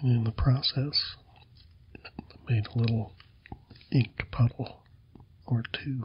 And in the process, made a little ink puddle or two.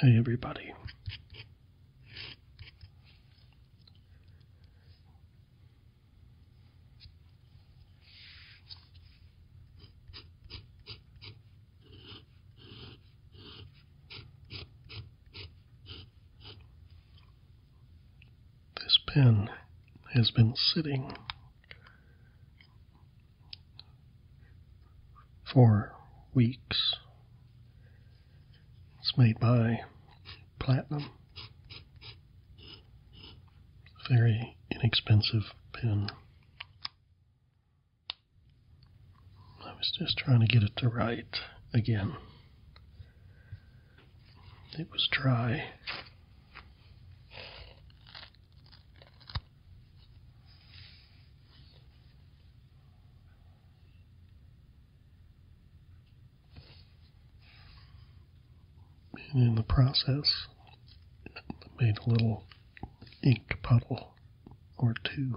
Hey, everybody. This pen has been sitting for weeks. It's made by Platinum. Very inexpensive pen. I was just trying to get it to write again. It was dry. And in the process, made a little ink puddle or two.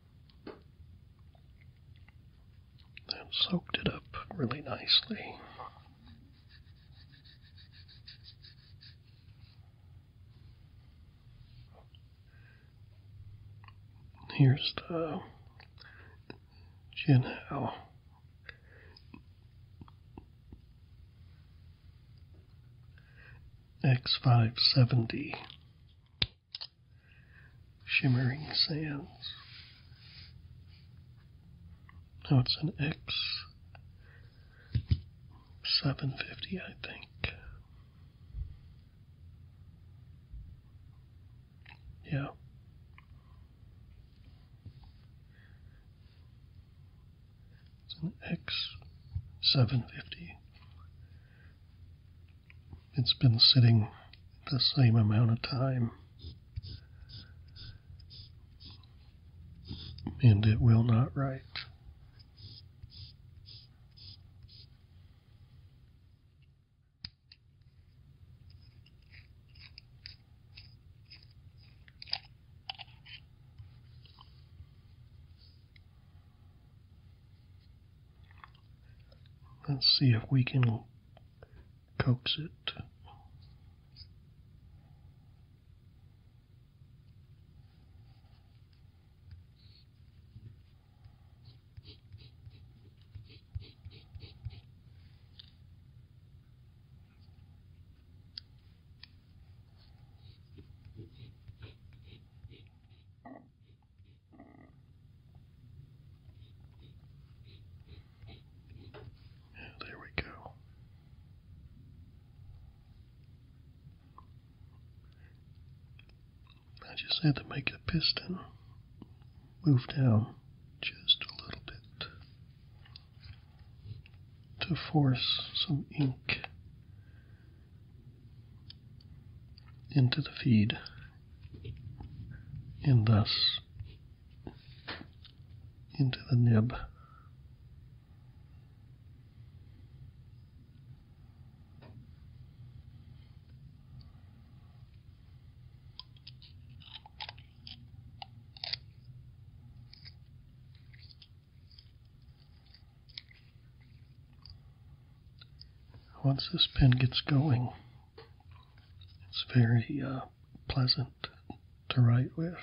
and soaked it up really nicely. Here's the Jinhao. X570 shimmering sands. Now it's an X 750, I think. Yeah. It's an X 750 it's been sitting the same amount of time. And it will not write. Let's see if we can coax it there we go. I just had to make the piston move down just a little bit to force some ink into the feed and thus into the nib. Once this pen gets going, it's very uh, pleasant to write with.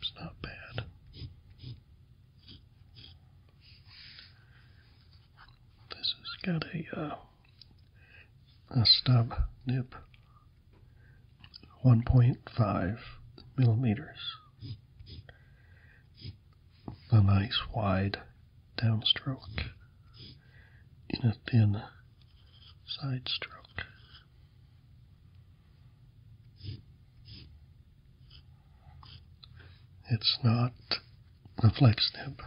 It's not bad. This has got a uh, a stub nib, one point five millimeters. A nice wide downstroke in a thin side stroke. It's not a flex nib.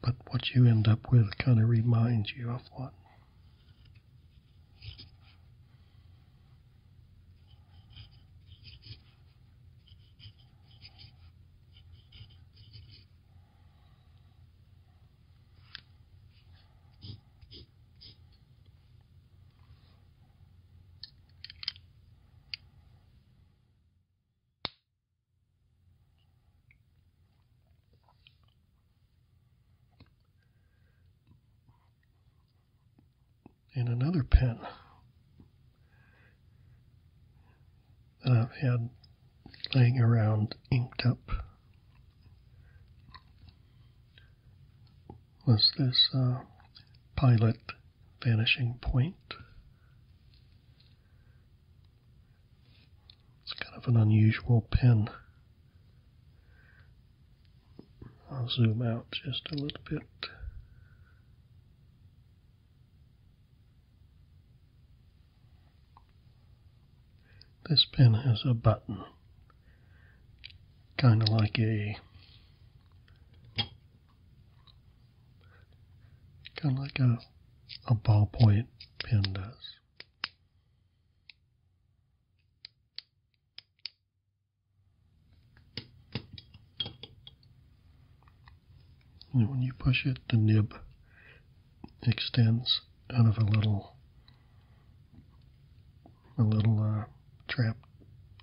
But what you end up with kind of reminds you of what and another pen that I've had laying around inked up was this pilot vanishing point. It's kind of an unusual pen. I'll zoom out just a little bit. This pen has a button, kind of like a kind of like a, a ballpoint pen does. And when you push it, the nib extends out of a little a little uh, trap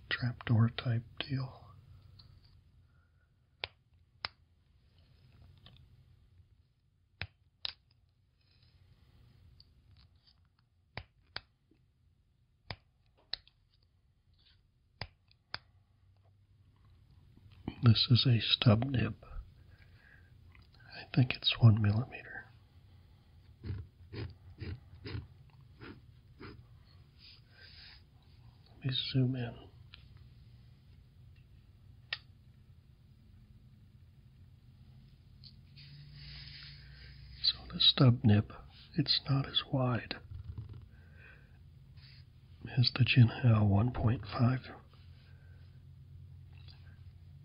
trapdoor type deal. This is a stub nib. I think it's one millimeter. Let me zoom in. So the stub nib, it's not as wide is the Jinhao 1.5,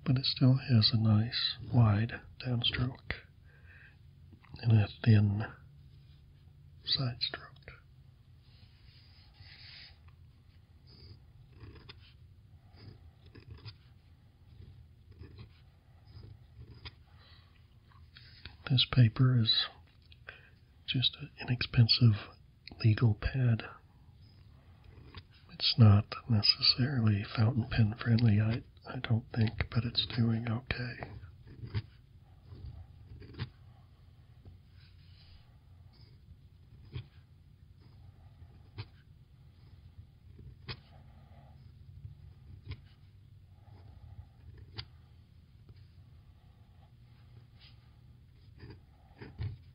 but it still has a nice wide downstroke and a thin side stroke. This paper is just an inexpensive legal pad. It's not necessarily fountain pen friendly, I, I don't think, but it's doing okay.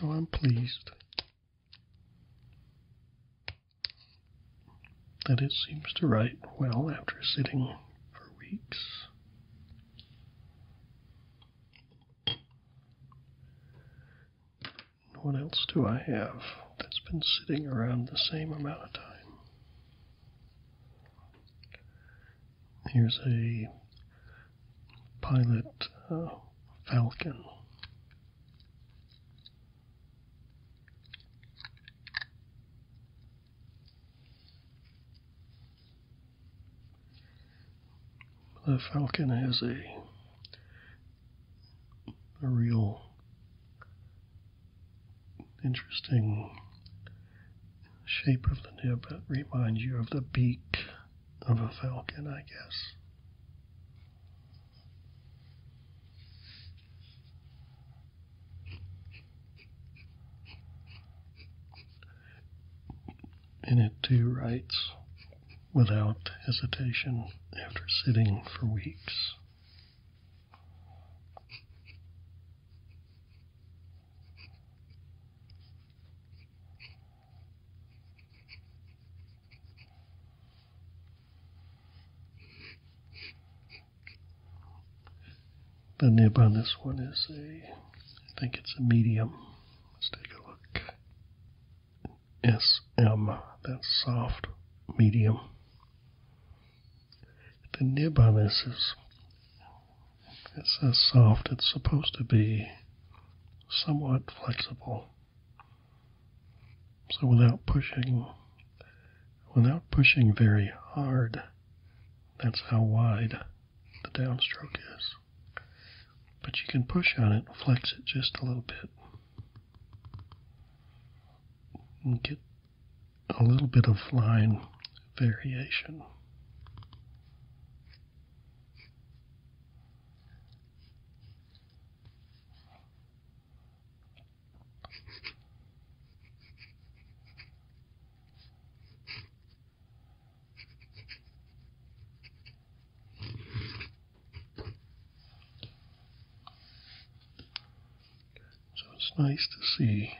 So I'm pleased that it seems to write well after sitting for weeks. What else do I have that's been sitting around the same amount of time? Here's a pilot uh, falcon. The Falcon has a a real interesting shape of the nib that reminds you of the beak of a falcon, I guess. And it too writes without hesitation after sitting for weeks. The nib on this one is a, I think it's a medium. Let's take a look. SM, that's soft medium. The nib on this is, it says soft, it's supposed to be somewhat flexible. So without pushing, without pushing very hard, that's how wide the downstroke is. But you can push on it, flex it just a little bit, and get a little bit of line variation. So it's nice to see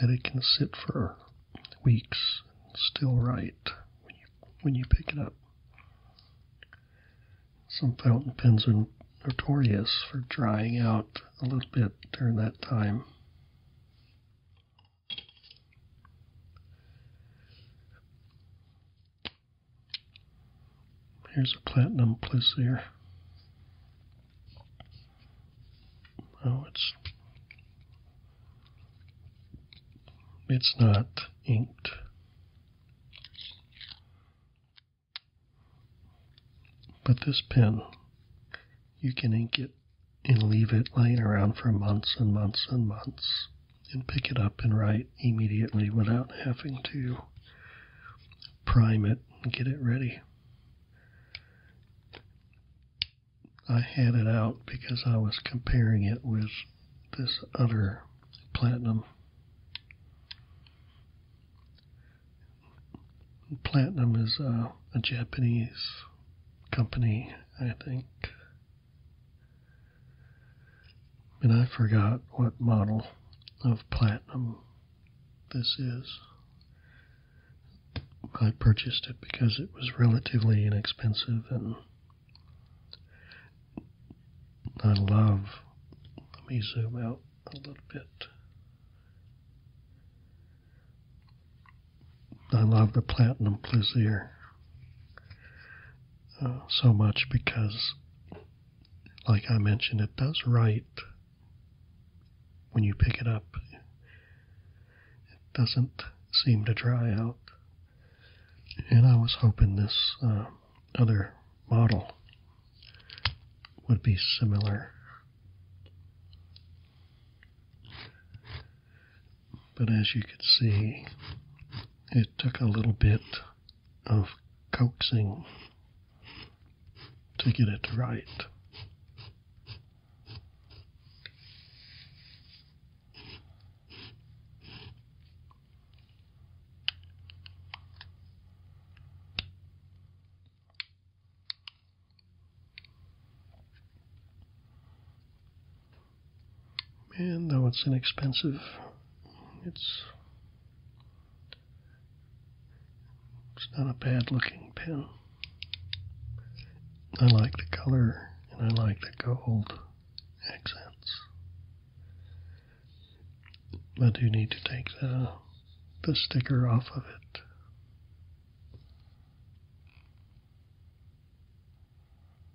that it can sit for weeks and still write when you, when you pick it up. Some fountain pens are notorious for drying out a little bit during that time. Here's a platinum plus there. Oh, it's it's not inked. But this pen, you can ink it and leave it lying around for months and months and months and pick it up and write immediately without having to prime it and get it ready. I had it out because I was comparing it with this other platinum. Platinum is a, uh, a Japanese company, I think. And I forgot what model of platinum this is. I purchased it because it was relatively inexpensive and I love. Let me zoom out a little bit. I love the Platinum Plaisir uh, so much because, like I mentioned, it does write when you pick it up. It doesn't seem to dry out. And I was hoping this uh, other model would be similar. But as you can see, it took a little bit of coaxing to get it right. And though it's inexpensive, it's it's not a bad looking pen. I like the color and I like the gold accents. I do need to take the the sticker off of it.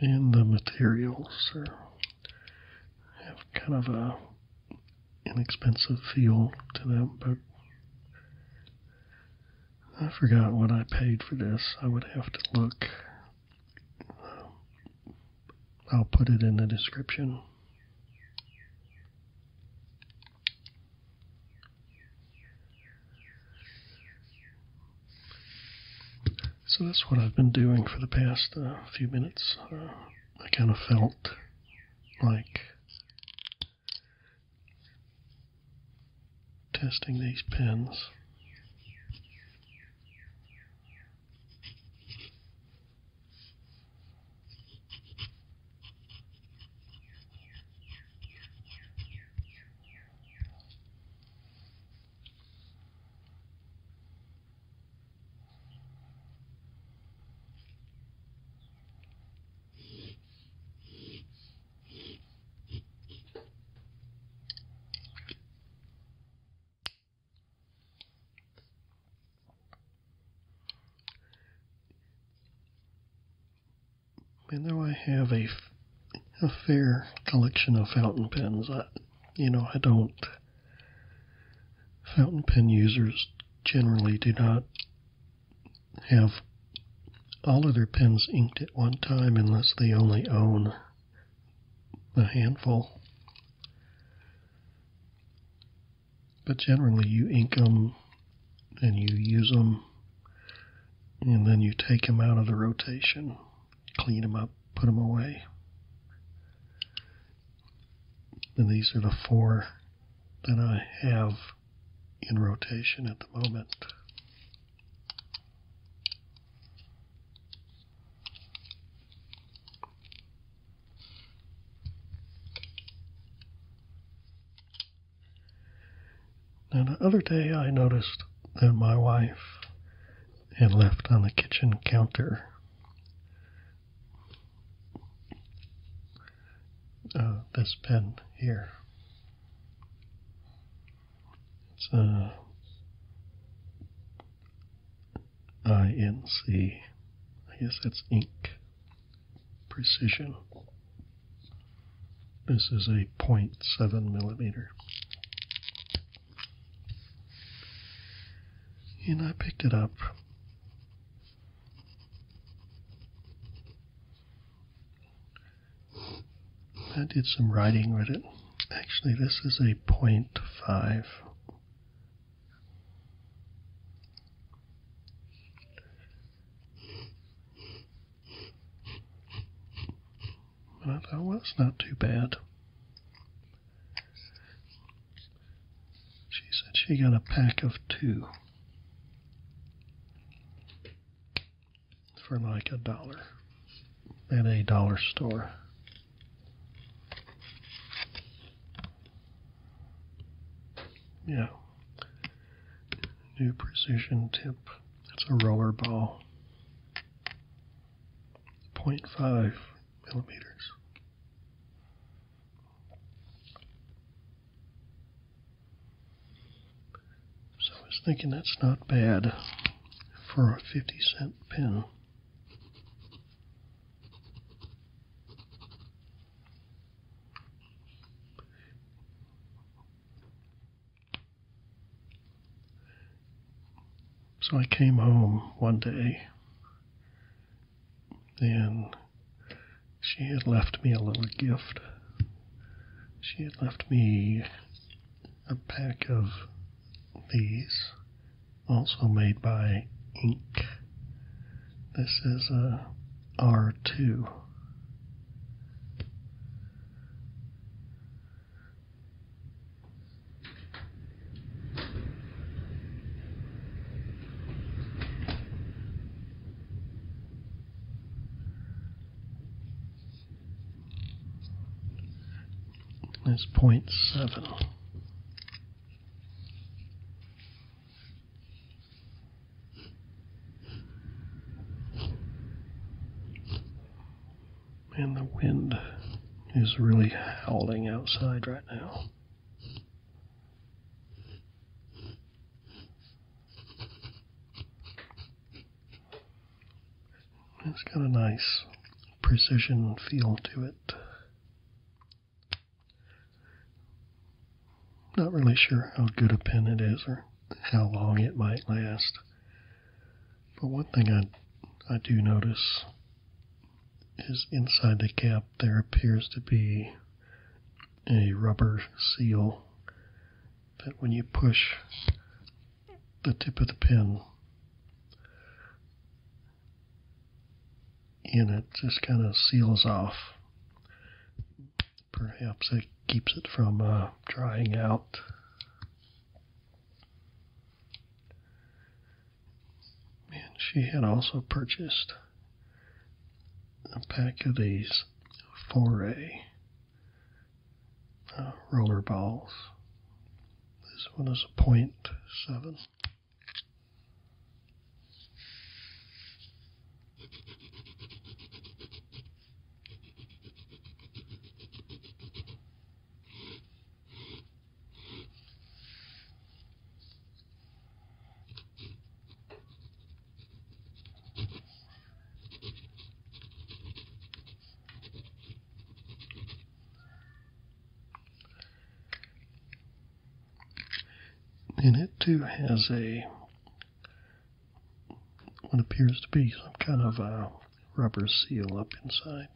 and the materials are, have kind of an inexpensive feel to them, but I forgot what I paid for this. I would have to look. I'll put it in the description. So that's what I've been doing for the past uh, few minutes. I kind of felt like testing these pins. And now I have a, a fair collection of fountain pens, you know, I don't. Fountain pen users generally do not have all of their pens inked at one time unless they only own a handful. But generally, you ink them and you use them, and then you take them out of the rotation clean them up, put them away. And these are the four that I have in rotation at the moment. Now, the other day I noticed that my wife and left on the kitchen counter. Uh, this pen here. It's a uh, I N C. I guess that's ink precision. This is a 0.7 millimeter. And I picked it up. I did some writing with it. Actually, this is a .5. And I well, it's not too bad. She said she got a pack of two for like a dollar at a dollar store. Yeah. New precision tip. It's a roller ball. 0.5 millimeters. So I was thinking that's not bad for a 50 cent pin. So I came home one day, and she had left me a little gift. She had left me a pack of these, also made by Ink. This is a R2 is 0.7. And the wind is really howling outside right now. It's got a nice precision feel to it. Not really sure how good a pen it is or how long it might last. But one thing I, I do notice is inside the cap, there appears to be a rubber seal that when you push the tip of the pin in, it just kind of seals off. Perhaps it keeps it from uh, drying out. And she had also purchased a pack of these foray uh, roller balls. This one is a point seven. And it too has a what appears to be some kind of a rubber seal up inside.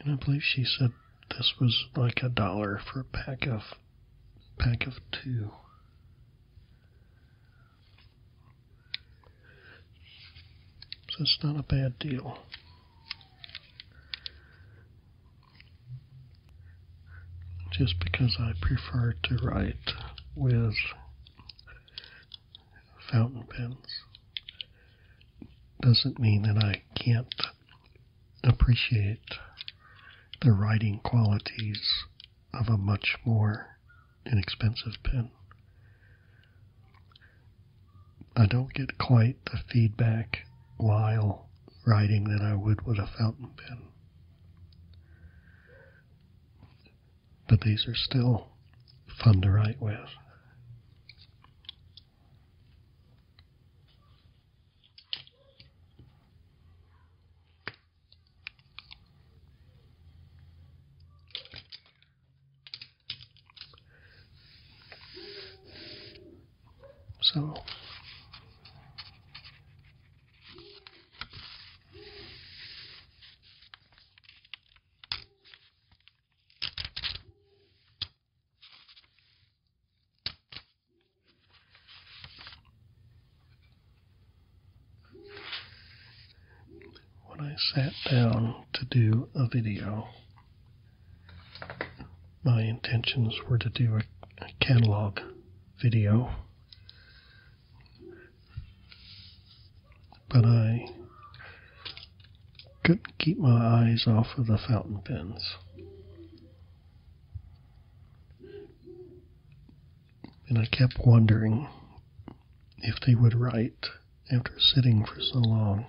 And I believe she said this was like a dollar for a pack of pack of two. So it's not a bad deal just because I prefer to write with fountain pens doesn't mean that I can't appreciate the writing qualities of a much more inexpensive pen. I don't get quite the feedback while writing that I would with a fountain pen. But these are still fun to write with. So when I sat down to do a video, my intentions were to do a, catalog video but I couldn't keep my eyes off of the fountain pens. And I kept wondering if they would write after sitting for so long.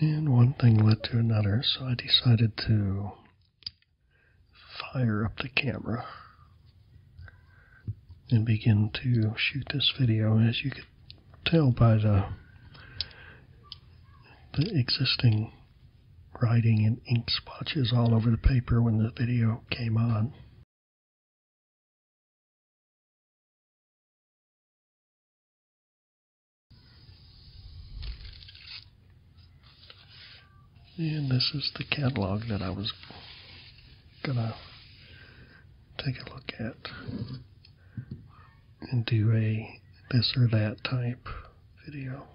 And one thing led to another, so I decided to fire up the camera and begin to shoot this video. As you could tell by the, existing writing and ink splotches all over the paper when the video came on. And this is the catalog that I was gonna take a look at and do a this or that type video.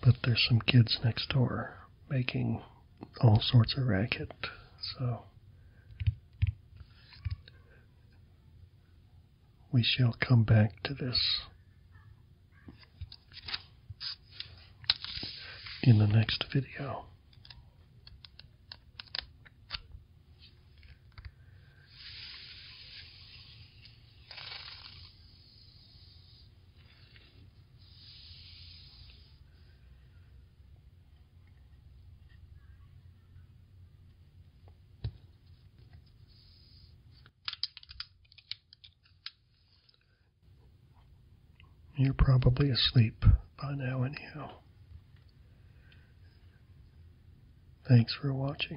But there's some kids next door making all sorts of racket. So we shall come back to this in the next video. You're probably asleep by now, anyhow. Thanks for watching.